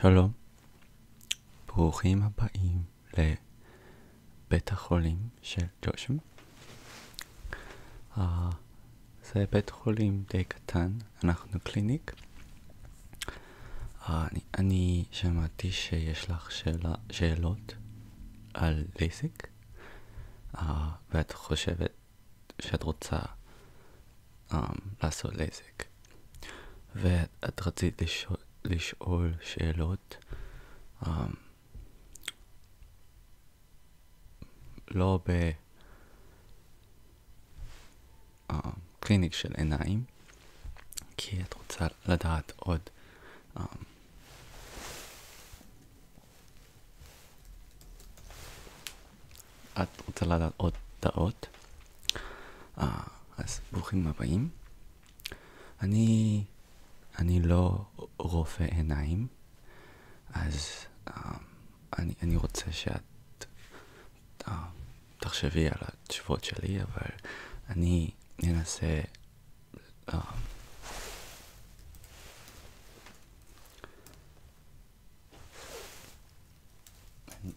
שלום, ברוכים הבאים לבית החולים של ג'ושם. Uh, זה בית חולים די קטן, אנחנו קליניק. Uh, אני, אני שמעתי שיש לך שאלה, שאלות על ליסיק, uh, אה, ואת חושבת שאת רוצה um, לעשות לעסק ואת רצית לשאול, לשאול שאלות um, לא בקליניק אמ, של עיניים כי את רוצה לדעת עוד um, את רוצה לדעת עוד דעות? אה, אז ברוכים הבאים. אני, אני לא רופא עיניים, אז אה, אני, אני רוצה שאת אה, תחשבי על התשובות שלי, אבל אני אנסה... אה, אני,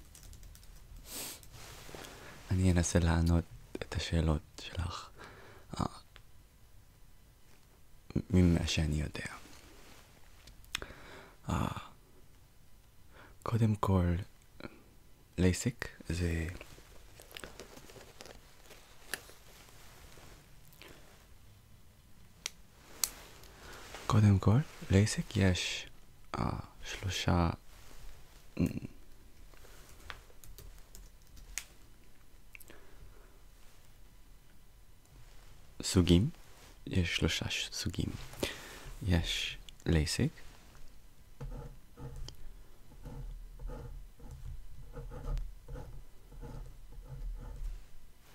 אני אנסה לענות את השאלות שלך אה, ממה שאני יודע. אה, קודם כל, לייסיק זה... קודם כל, לעסק יש uh, שלושה... Mm, סוגים, יש שלושה סוגים. יש לייסק,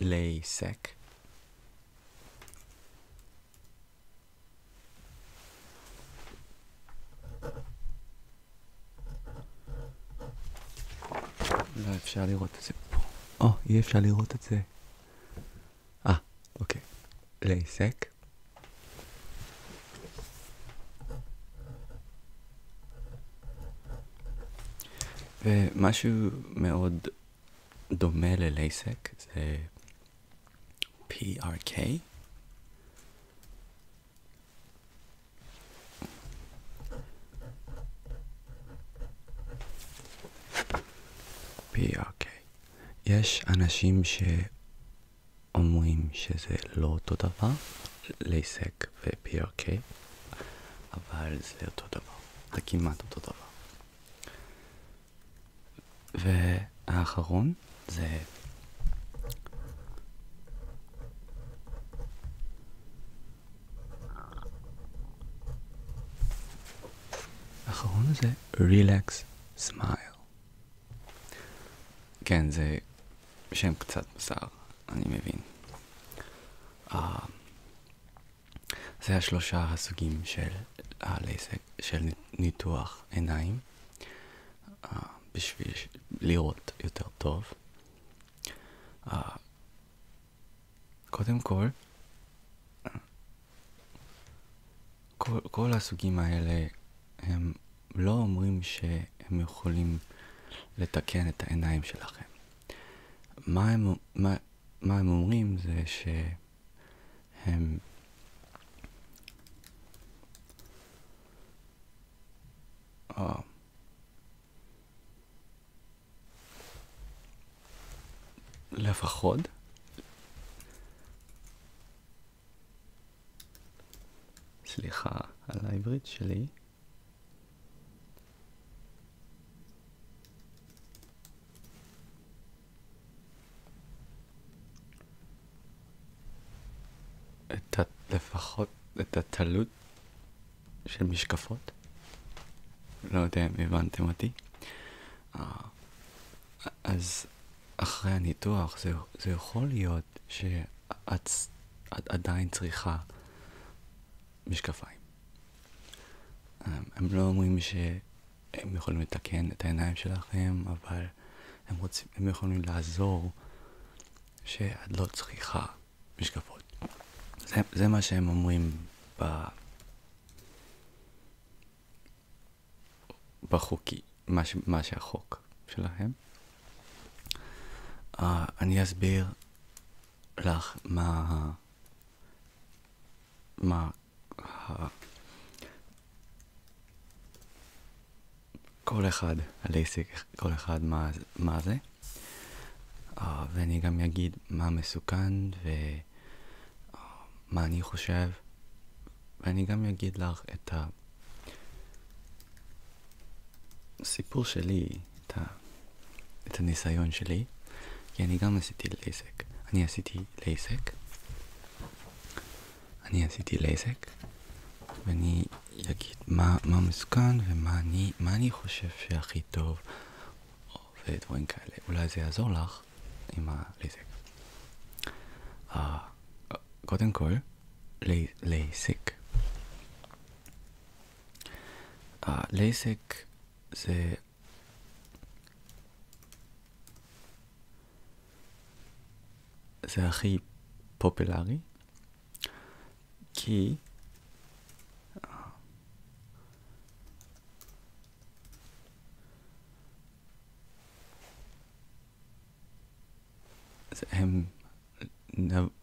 Lasek. לא אפשר לראות את זה פה. או, אי אפשר לראות את זה. אה, אוקיי. לייסק. ומשהו מאוד דומה ללייסק, זה PRK. PRK. יש אנשים שאומרים שזה לא אותו דבר, לייסק ו-PRK, אבל זה אותו דבר, זה כמעט אותו דבר. והאחרון זה... האחרון זה Relax Smile. כן, זה שם קצת בשר, אני מבין. Uh, זה השלושה הסוגים של, של ניתוח עיניים אה, בשביל לראות יותר טוב. אה, קודם כל, כל, כל הסוגים האלה הם לא אומרים שהם יכולים לתקן את העיניים שלכם. מה הם, מה, מה הם אומרים זה שהם... Oh. לפחות סליחה על העברית שלי את ה... לפחות את התלות של משקפות. לא יודע אם הבנתם אותי. אה, אז אחרי הניתוח זה, זה יכול להיות שאת את עדיין צריכה משקפיים. אה, הם לא אומרים ש... הם יכולים לתקן את העיניים שלכם, אבל הם, רוצים, הם יכולים לעזור שאת לא צריכה משקפות. זה, זה מה שהם אומרים ב... בחוקי, מה, ש, מה שהחוק שלהם. Uh, אני אסביר לך מה, מה כל אחד, הלייסיק, כל אחד מה, מה זה. Uh, ואני גם אגיד מה מסוכן ומה אה, uh, אני חושב. ואני גם אגיד לך את הסיפור שלי, את, ה... את הניסיון שלי. כי אני גם עשיתי לייזק. אני עשיתי לייזק. אני עשיתי לייזק. ואני אגיד מה, מה מסוכן ומה אני, מה אני חושב שהכי טוב ודברים כאלה. אולי זה יעזור לך עם הלייזק. Uh, אה, קודם כל, לייזק. Uh, אה, זה זה הכי פופולרי, כי הם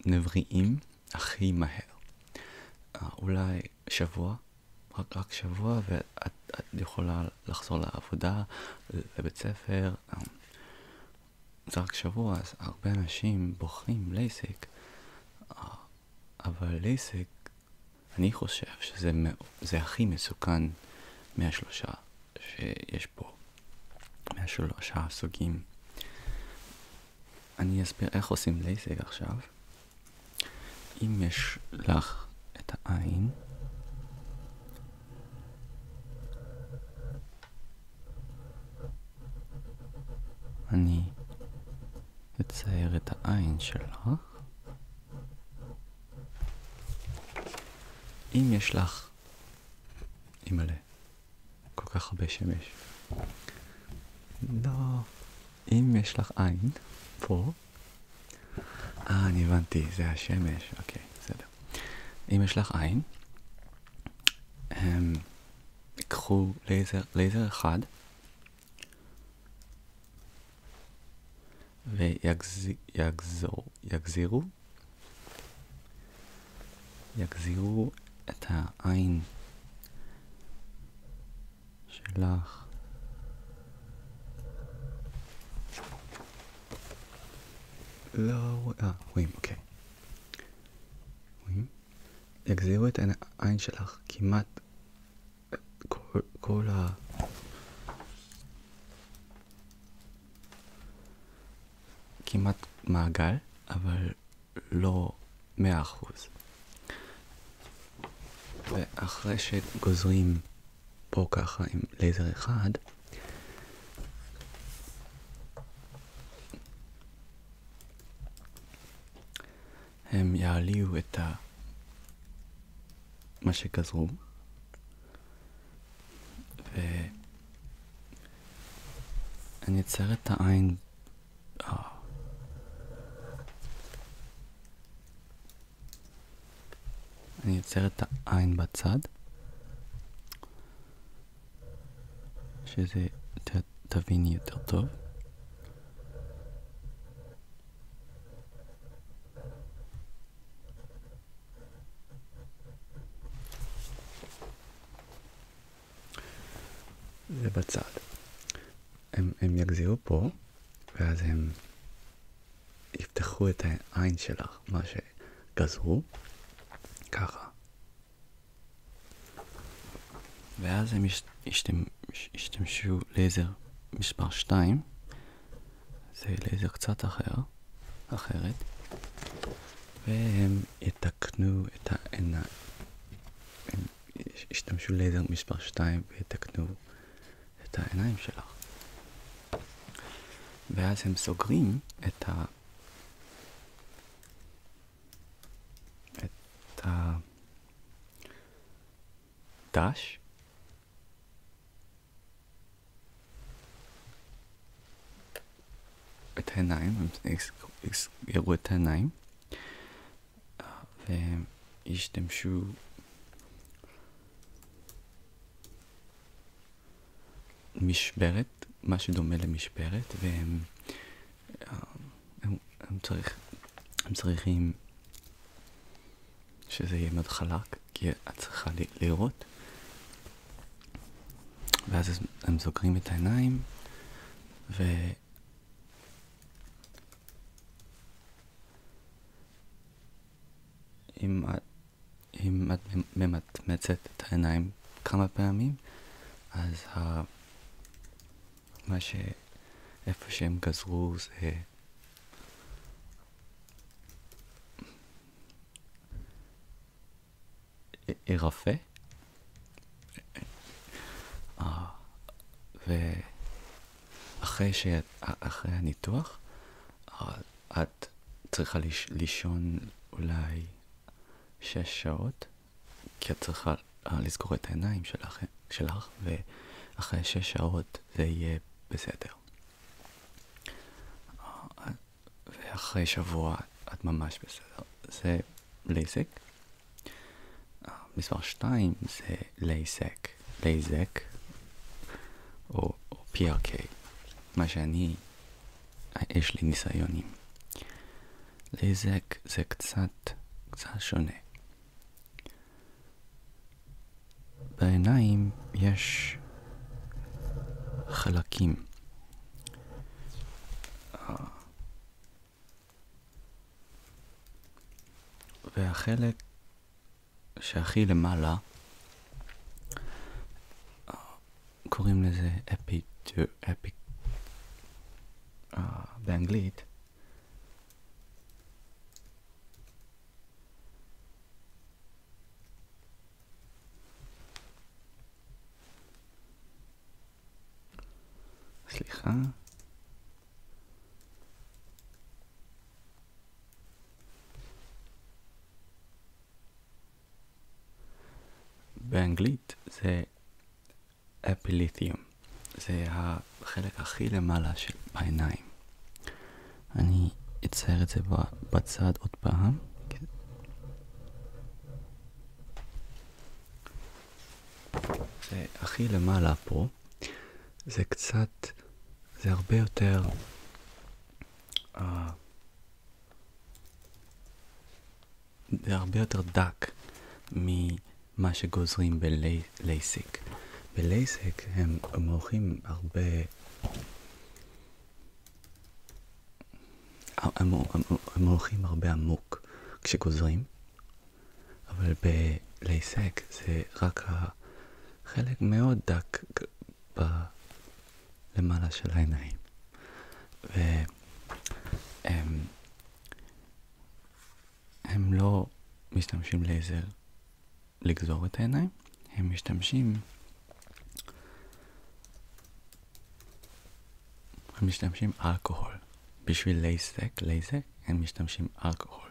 נבראים הכי מהר. אה, אולי שבוע, רק, רק שבוע, ואת את יכולה לחזור לעבודה, לבית ספר. זה רק שבוע, אז הרבה אנשים בוחרים לייסק, אבל לייסק, אני חושב שזה הכי מסוכן מהשלושה שיש פה, מהשלושה הסוגים. אני אסביר איך עושים לייסק עכשיו. אם יש לך את העין אני אצייר את העין שלך. אם יש לך, אימא'לה, כל כך הרבה שמש. לא, אם יש לך עין, פה, אה, אני הבנתי, זה השמש, אוקיי, בסדר. אם יש לך עין, הם, אמ, קחו לייזר, לייזר אחד, ויגזירו, יגזירו את העין שלך. לא רואה, רואים, אוקיי. רואים? יגזירו את העין שלך כמעט כל, ה... כמעט מעגל, אבל לא מאה אחוז. ואחרי שגוזרים פה ככה עם לייזר אחד, הם יעליו את ה... מה שגזרו, ואני אצייר את העין... אה. אני יוצר את העין בצד, שזה ת, תביני יותר טוב. זה בצד. הם, הם יגזירו פה, ואז הם יפתחו את העין שלך, מה שגזרו, ככה. ואז הם השתמשו לייזר מספר 2, זה לייזר קצת אחר, אחרת, והם יתקנו את העיניים, הם השתמשו לייזר מספר 2 ויתקנו את העיניים שלך. ואז הם סוגרים את ה... את הדש. את העיניים, הם יראו את העיניים והם משברת, מה שדומה למשברת, והם הם, אה, הם, צריך, הם צריכים שזה יהיה מאוד חלק, כי את צריכה לראות, ואז הם סוגרים את העיניים, ו... אם, אם את ממצמצת את העיניים כמה פעמים, אז ה... מה ש... איפה שהם גזרו זה... ירפה? ו... אחרי, ש... אחרי הניתוח, אה, את צריכה ליש... לישון אולי שש שעות, כי את צריכה אה, לסגור את העיניים שלך, שלך ואחרי שש שעות זה יהיה בסדר. אה, ואחרי שבוע את ממש בסדר. זה לייסק. מספר 2 זה לייסק. לייזק או, או PRK, מה שאני, יש לי ניסיונים. לייזק זה קצת, קצת שונה. בעיניים יש חלקים. והחלק שהכי למעלה, קוראים לזה אפי, אפי, אה, באנגלית. סליחה. באנגלית זה אפיליתיום. זה החלק הכי למעלה של העיניים. אני אצייר את זה בצד עוד פעם. כן. זה הכי למעלה פה. זה קצת, זה הרבה יותר uh, זה הרבה יותר דק ממה שגוזרים בלייסיק. בלייסיק הם מורחים הרבה... הם, הם, הם הולכים הרבה עמוק כשגוזרים, אבל בלייסק זה רק ה... חלק מאוד דק למעלה של העיניים. והם הם לא משתמשים לייזר לגזור את העיניים, הם משתמשים... הם משתמשים אלכוהול. בשביל לייזק, לייזק, הם משתמשים אלכוהול.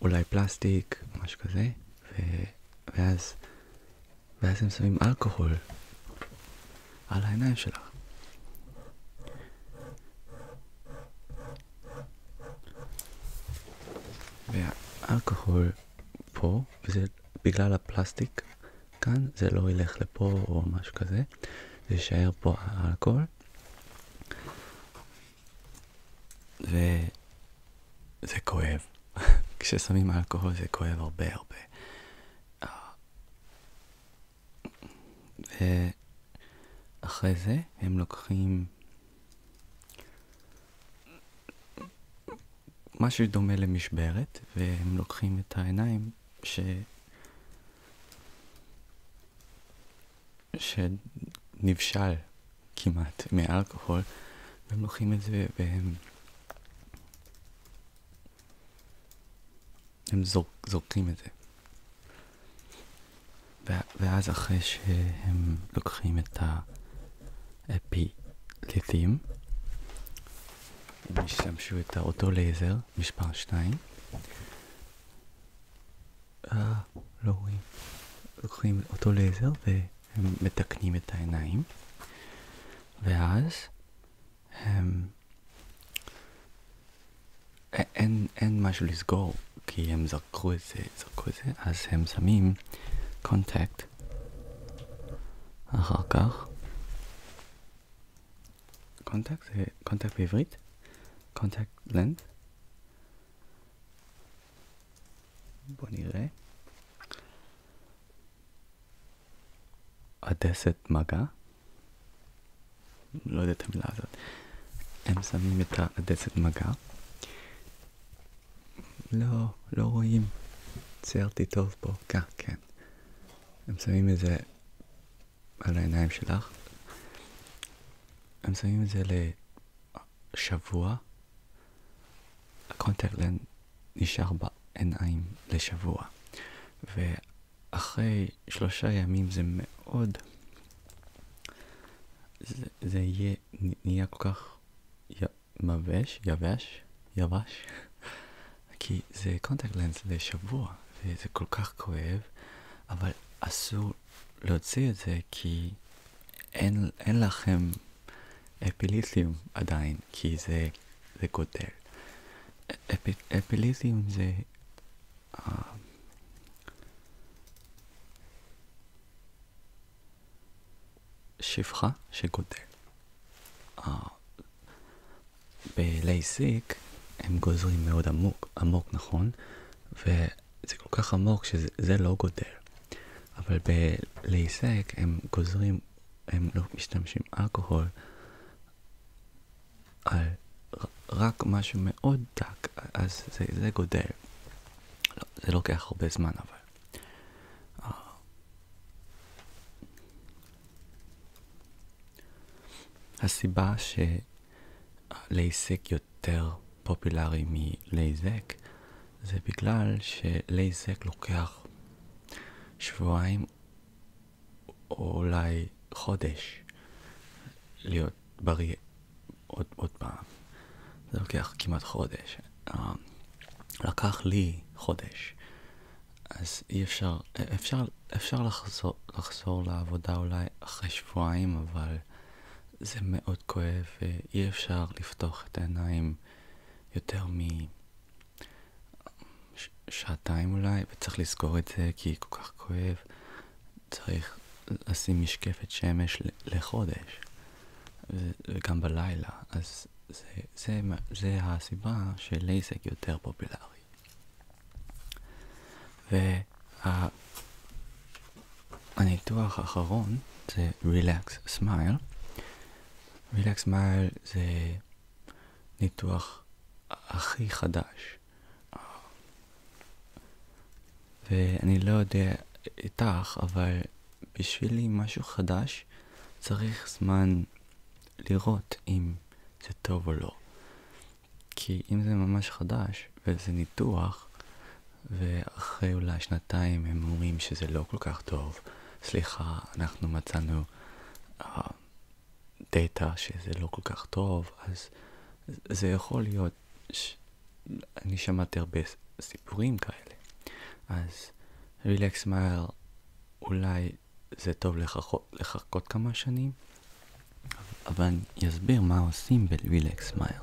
אולי פלסטיק, משהו כזה, ו... ואז, ואז הם שמים אלכוהול על העיניים שלך. והאלכוהול פה, וזה בגלל הפלסטיק כאן, זה לא ילך לפה או משהו כזה, זה יישאר פה האלכוהול. וזה כואב. כששמים אלכוהול זה כואב הרבה הרבה. אה, ואחרי זה הם לוקחים משהו דומה למשברת, והם לוקחים את העיניים ש... שנבשל כמעט מהאלכוהול, והם לוקחים את זה והם... הם זור, זורקים את זה. ואז אחרי שהם לוקחים את האפילטים, הם השתמשו את אותו לייזר, מספר 2. אה, לא רואים. לוקחים אותו לייזר הם מתקנים את העיניים, ואז הם... אין, אין משהו לסגור, כי הם זרקו את זה, זרקו את זה, אז הם שמים קונטקט. אחר כך, קונטקט זה קונטקט בעברית, קונטקט לנד, בוא נראה. עדסת מגע? לא יודע את המילה הזאת. הם שמים את העדסת מגע. לא, לא רואים. ציירתי טוב פה. כן, כן. הם שמים את זה על העיניים שלך. הם שמים את זה ל... שבוע, הקונטקט לנד נשאר בעיניים לשבוע, ואחרי שלושה ימים זה מאוד, זה, זה יהיה, נהיה כל כך י, מבש, יבש, יבש, כי זה קונטקט לנד לשבוע, וזה כל כך כואב, אבל אסור להוציא את זה כי אין, אין לכם אפיליסיום עדיין, כי זה, זה גודל. אפ, אפיליסיום זה... אה, שפחה שגודל. Uh, בלייסיק הם גוזרים מאוד עמוק, עמוק נכון? וזה כל כך עמוק שזה לא גודל. אבל בלהיסק הם גוזרים, הם לא משתמשים אלכוהול על רק משהו מאוד דק, אז זה, זה גודל. לא, זה לוקח הרבה זמן אבל. אה, הסיבה שלהיסק יותר פופולרי מלהיזק זה בגלל שלייזק לוקח שבועיים או אולי חודש להיות בריא עוד, עוד פעם. זה לוקח כמעט חודש. Uh, לקח לי חודש. אז אי אפשר, אפשר, אפשר לחזור, לחזור לעבודה אולי אחרי שבועיים, אבל זה מאוד כואב ואי אפשר לפתוח את העיניים יותר משעתיים אולי, וצריך לזכור את זה כי כל כך כואב. צריך לשים משקפת שמש לחודש, וגם בלילה, אז זה, זה, זה הסיבה שלייזק יותר פופולרי. והניתוח האחרון זה Relax Smile, וילקס מייל זה ניתוח הכי חדש. ואני לא יודע איתך, אבל בשבילי משהו חדש צריך זמן לראות אם זה טוב או לא. כי אם זה ממש חדש וזה ניתוח, ואחרי אולי שנתיים הם אומרים שזה לא כל כך טוב. סליחה, אנחנו מצאנו uh, דאטה שזה לא כל כך טוב, אז זה יכול להיות, ש... אני שמעתי הרבה סיפורים כאלה. אז רילקס מהר, אולי זה טוב לחכות, לחכות כמה שנים, אבל אני אסביר מה עושים ברילקס מהר.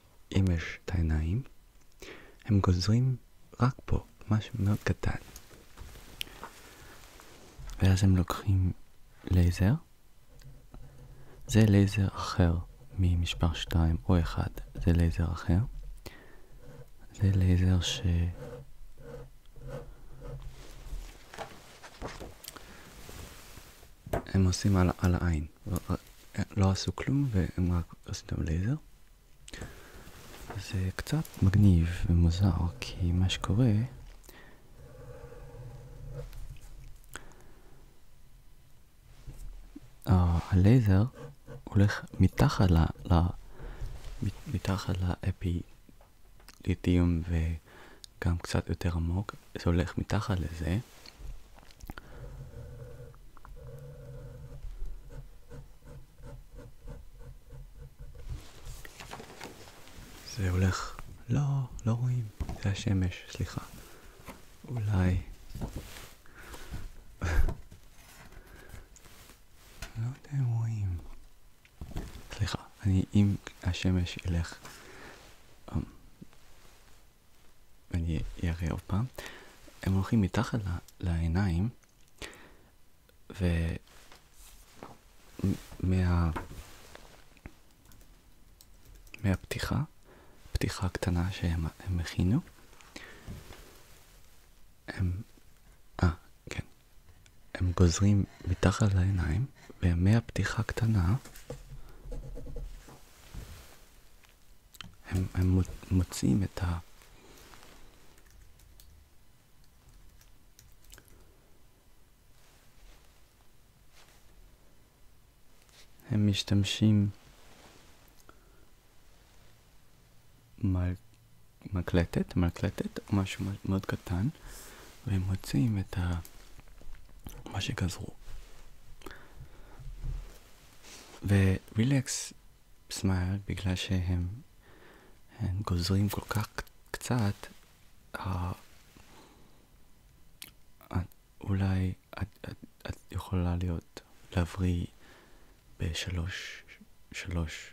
אם את העיניים, הם גוזרים רק פה משהו מאוד קטן. ואז הם לוקחים לייזר. זה לייזר אחר ממספר 2 או 1, זה לייזר אחר. זה לייזר ש... הם עושים על, על העין. כן. לא עשו כלום והם רק עשו אותם לייזר. זה קצת מגניב ומוזר כי מה שקורה הלייזר הולך מתחת ל... ל מתחת לאפיליטיום וגם קצת יותר עמוק, זה הולך מתחת לזה זה הולך, לא, לא רואים, זה השמש, סליחה. אולי... לא יודע אם רואים. סליחה, אני, אם השמש ילך... אמ, ואני אראה עוד פעם, הם הולכים מתחת לעיניים, ומה... מהפתיחה, פתיחה קטנה שהם הכינו, הם... אה, כן. הם גוזרים מתחת לעיניים, ומהפתיחה קטנה הם, הם מוצאים את ה... הם משתמשים מקלטת, מקלטת, משהו מאוד קטן, והם מוצאים את ה... מה שגזרו. ורילקס סמייל, בגלל שהם גוזרים כל כך קצת, אולי את, את, את יכולה להיות, להבריא בשלוש שלוש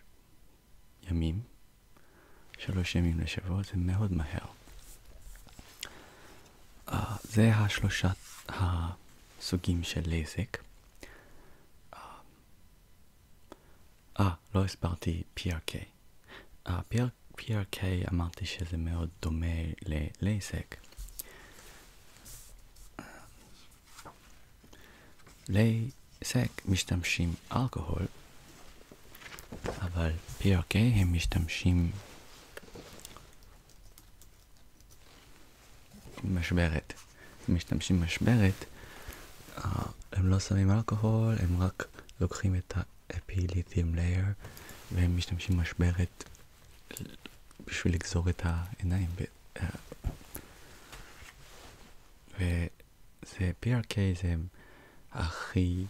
ימים, שלוש ימים לשבוע, זה מאוד מהר. זה השלושה, ה... סוגים של לזק. אה, לא הסברתי PRK. Uh, אה, PRK אמרתי שזה מאוד דומה ללייזק. לייזק משתמשים אלכוהול, אבל PRK הם משתמשים משמרת. משתמשים משמרת, אה, הם לא שמים אלכוהול, הם רק לוקחים את האפיליתיום לייר והם משתמשים משמרת בשביל לגזור את העיניים. אה, וזה PRK זה הכי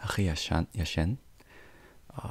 הכי ישן, ישן. אה,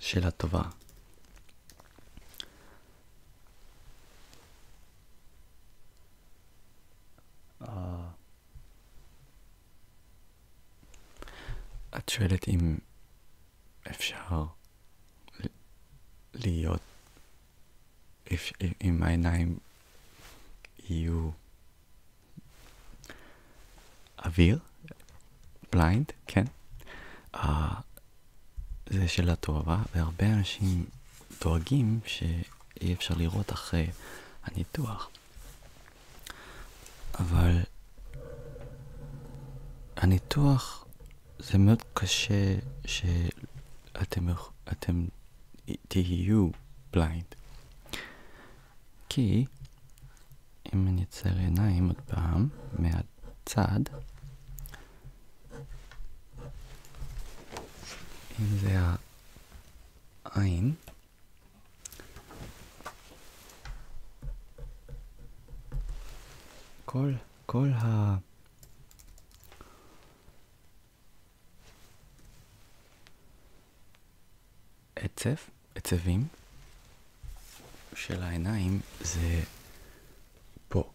שאלה טובה. אה, את שואלת אם אפשר להיות, אם העיניים יהיו אוויר, בליינד, כן? אה, זה שאלה טובה, והרבה אנשים דואגים שאי אפשר לראות אחרי הניתוח. אבל הניתוח זה מאוד קשה שאתם תהיו בליינד. כי אם אני אצייר עיניים עוד פעם, מהצד, אם זה העין, כל, כל ה... עצב, עצבים, של העיניים זה פה.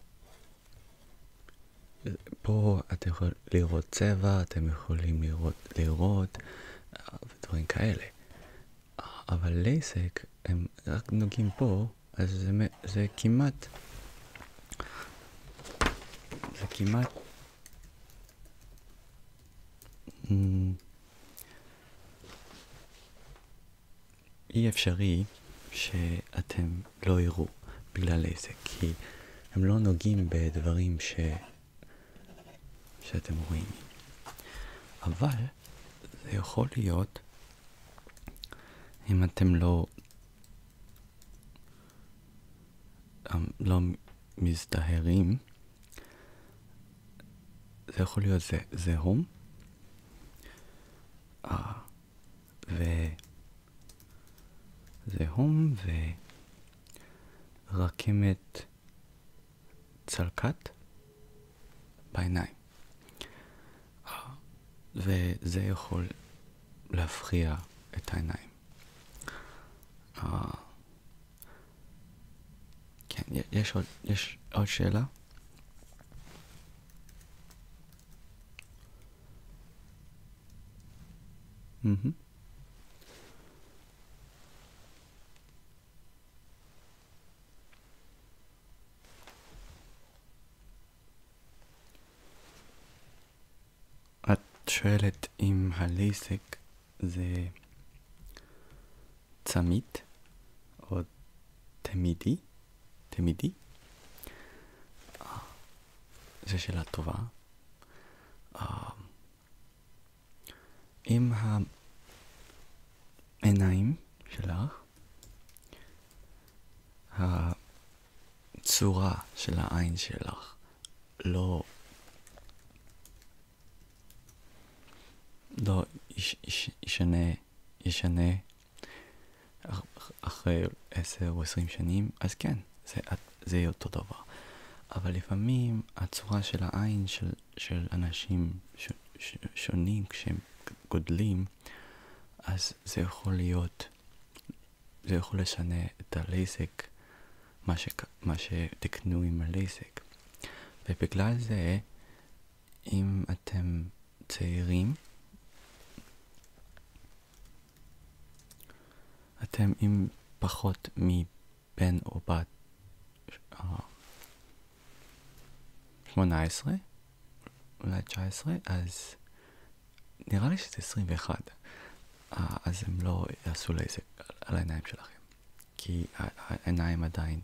פה אתם יכולים לראות צבע, אתם יכולים לראות, לראות ודברים כאלה. אבל לייסק, הם רק נוגעים פה, אז זה, זה כמעט... זה כמעט... אי אפשרי שאתם לא יראו בגלל זה, כי הם לא נוגעים בדברים ש... שאתם רואים. אבל זה יכול להיות אם אתם לא... אמ, לא מזדהרים, זה יכול להיות זה, זהום, 아, אה, ו... זה 홈 ורכמת צלקת בעיניים. אה, וזה יכול להפריע את העיניים. אה, כן, יש עוד, יש עוד שאלה? Mhm. את שואלת אם הלייסק זה צמית או תמידי? תמידי? אה, זו שאלה טובה. אה, אם העיניים שלך, הצורה של העין שלך לא... לא ישנה, ישנה אחרי עשר או עשרים שנים, אז כן, זה, זה אותו דבר. אבל לפעמים הצורה של העין של, של אנשים ש, ש, שונים כשהם גודלים, אז זה יכול להיות, זה יכול לשנה את הלייזק, מה, מה שתקנו עם הלייזק. ובגלל זה אם אתם צעירים, אתם עם פחות מבן או בת אה, שמונה עשרה, אולי תשע עשרה, אז נראה לי שזה 21. אה, אז הם לא יעשו לזה על העיניים שלכם, כי העיניים עדיין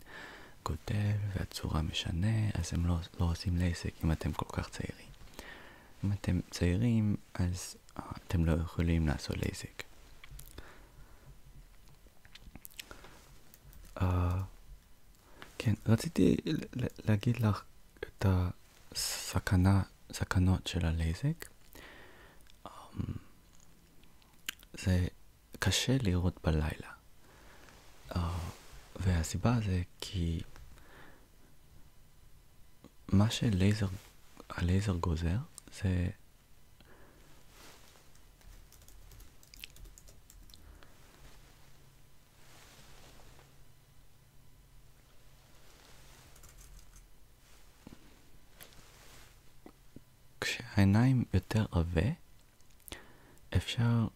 גודל והצורה משנה, אז הם לא, לא עושים לעסק אם אתם כל כך צעירים. אם אתם צעירים, אז אה, אתם לא יכולים לעשות לעסק. Uh, כן, רציתי להגיד לך את הסכנה, סכנות של הלייזק. Um, אמ, זה קשה לראות בלילה. Uh, והסיבה זה כי מה שלייזר, הלייזר גוזר זה כשהעיניים יותר עבה אפשר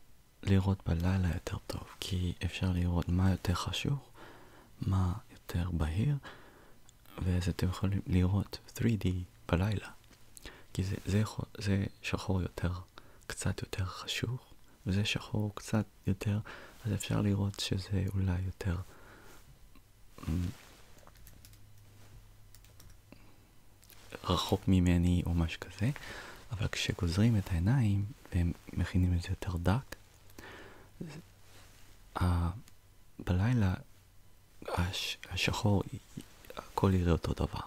לראות בלילה יותר טוב, כי אפשר לראות מה יותר חשוך, מה יותר בהיר, ואז אתם יכולים לראות 3D בלילה, כי זה, זה, זה שחור יותר, קצת יותר חשוך, וזה שחור קצת יותר, אז אפשר לראות שזה אולי יותר... רחוק ממני או משהו כזה, אבל כשגוזרים את העיניים והם מכינים את זה יותר דק, בלילה הש, השחור, הכל יראה אותו דבר.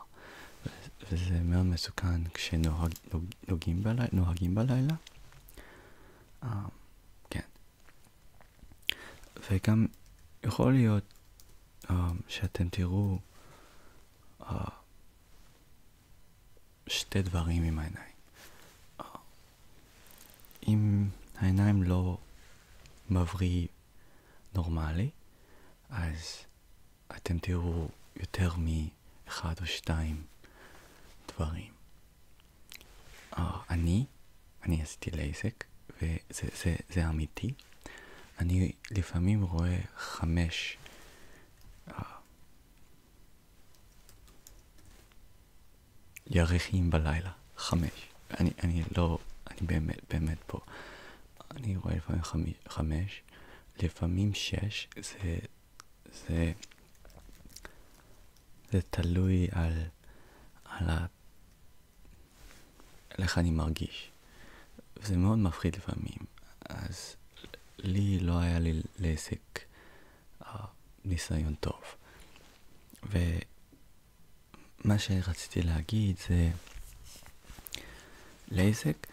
וזה מאוד מסוכן כשנוהגים בלילה, בלילה. אה, uh, כן. וגם יכול להיות uh, שאתם תראו uh, שתי דברים עם העיניים. אם העיניים לא מבריא נורמלי, אז אתם תראו יותר מאחד או שתיים דברים. Uh, אני, אני עשיתי לייזק, וזה זה, זה אמיתי. אני לפעמים רואה חמש ירחים בלילה, חמש. אני, אני לא, אני באמת, באמת פה. אני רואה לפעמים חמי, חמש, לפעמים שש, זה, זה, זה תלוי על, על ה... איך אני מרגיש. וזה מאוד מפחיד לפעמים. אז לי לא היה לי לעסק uh, ניסיון טוב. ומה שרציתי להגיד זה, לעסק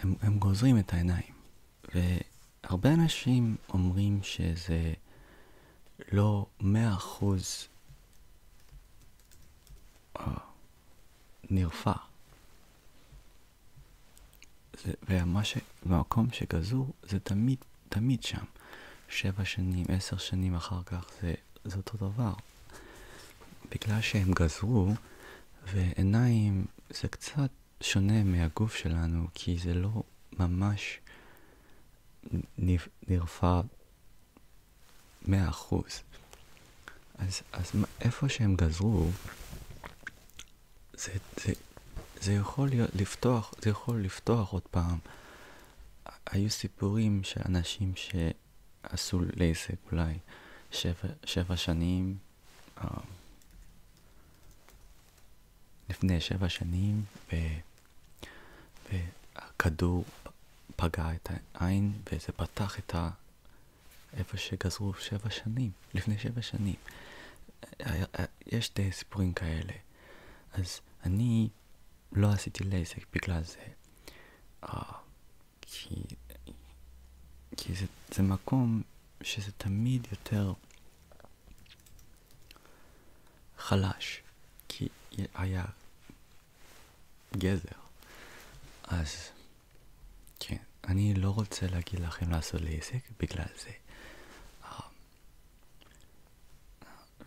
הם, הם גוזרים את העיניים. והרבה אנשים אומרים שזה לא מאה אחוז אה, נרפא. והמקום שגזור זה תמיד, תמיד שם. שבע שנים, עשר שנים אחר כך זה, זה אותו דבר. בגלל שהם גזרו, ועיניים זה קצת שונה מהגוף שלנו, כי זה לא ממש נרפא מאה אחוז. אז, אז איפה שהם גזרו, זה, זה, זה יכול לפתוח, זה יכול לפתוח עוד פעם. היו סיפורים של אנשים שעשו לעסק אולי שבע, שבע שנים, אה, לפני שבע שנים, והכדור פגע את העין וזה פתח את ה... איפה שגזרו שבע שנים, לפני שבע שנים. אה, יש די סיפורים כאלה. אז אני לא עשיתי לייזק בגלל זה. Uh, כי, כי זה, זה מקום שזה תמיד יותר חלש. כי היה גזר. אז כן, אני לא רוצה להגיד לכם לעשות לעסק בגלל זה. אה,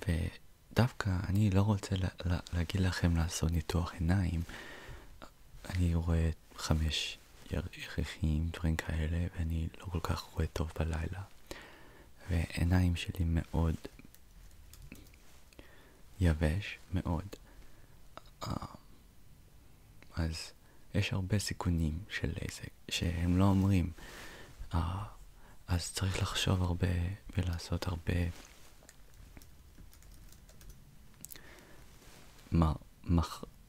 אה, ודווקא אני לא רוצה לה, לה, להגיד לכם לעשות ניתוח עיניים. אני רואה חמש ירחים, דברים כאלה, ואני לא כל כך רואה טוב בלילה. והעיניים שלי מאוד יבש, מאוד. אה, אז יש הרבה סיכונים של עסק שהם לא אומרים. Uh, אז צריך לחשוב הרבה ולעשות הרבה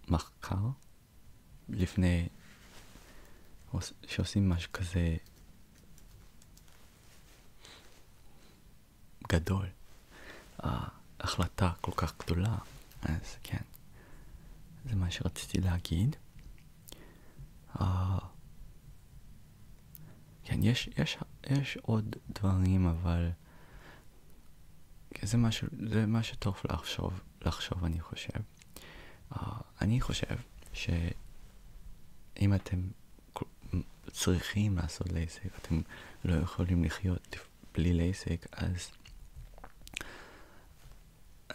מחקר לפני שעושים משהו כזה גדול, ההחלטה כל כך גדולה, אז כן, זה מה שרציתי להגיד. Uh, כן, יש, יש, יש עוד דברים, אבל זה מה, ש, זה מה שטוב לחשוב, לחשוב, אני חושב. Uh, אני חושב שאם אתם צריכים לעשות לייסק, אתם לא יכולים לחיות בלי לייסק, אז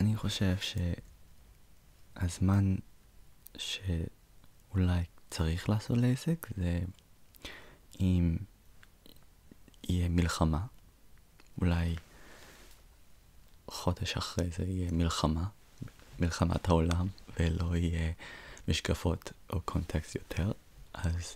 אני חושב שהזמן שאולי צריך לעשות לייסק זה אם יהיה מלחמה, אולי חודש אחרי זה יהיה מלחמה, מלחמת העולם, ולא יהיה משקפות או קונטקסט יותר, אז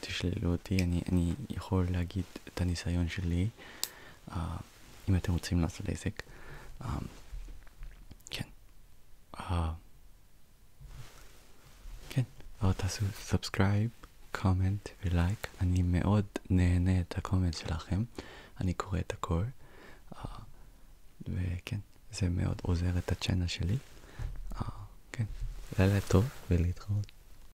תשללו אותי, אני, אני יכול להגיד את הניסיון שלי, uh, אם אתם רוצים לעשות עסק. Um, כן. Uh, כן, uh, תעשו סאבסקרייב, קומנט ולייק. אני מאוד נהנה את הקומנט שלכם, אני קורא את הכל. Uh, וכן, זה מאוד עוזר את הצ'אנל שלי. Uh, כן, לילה טוב ולהתראות.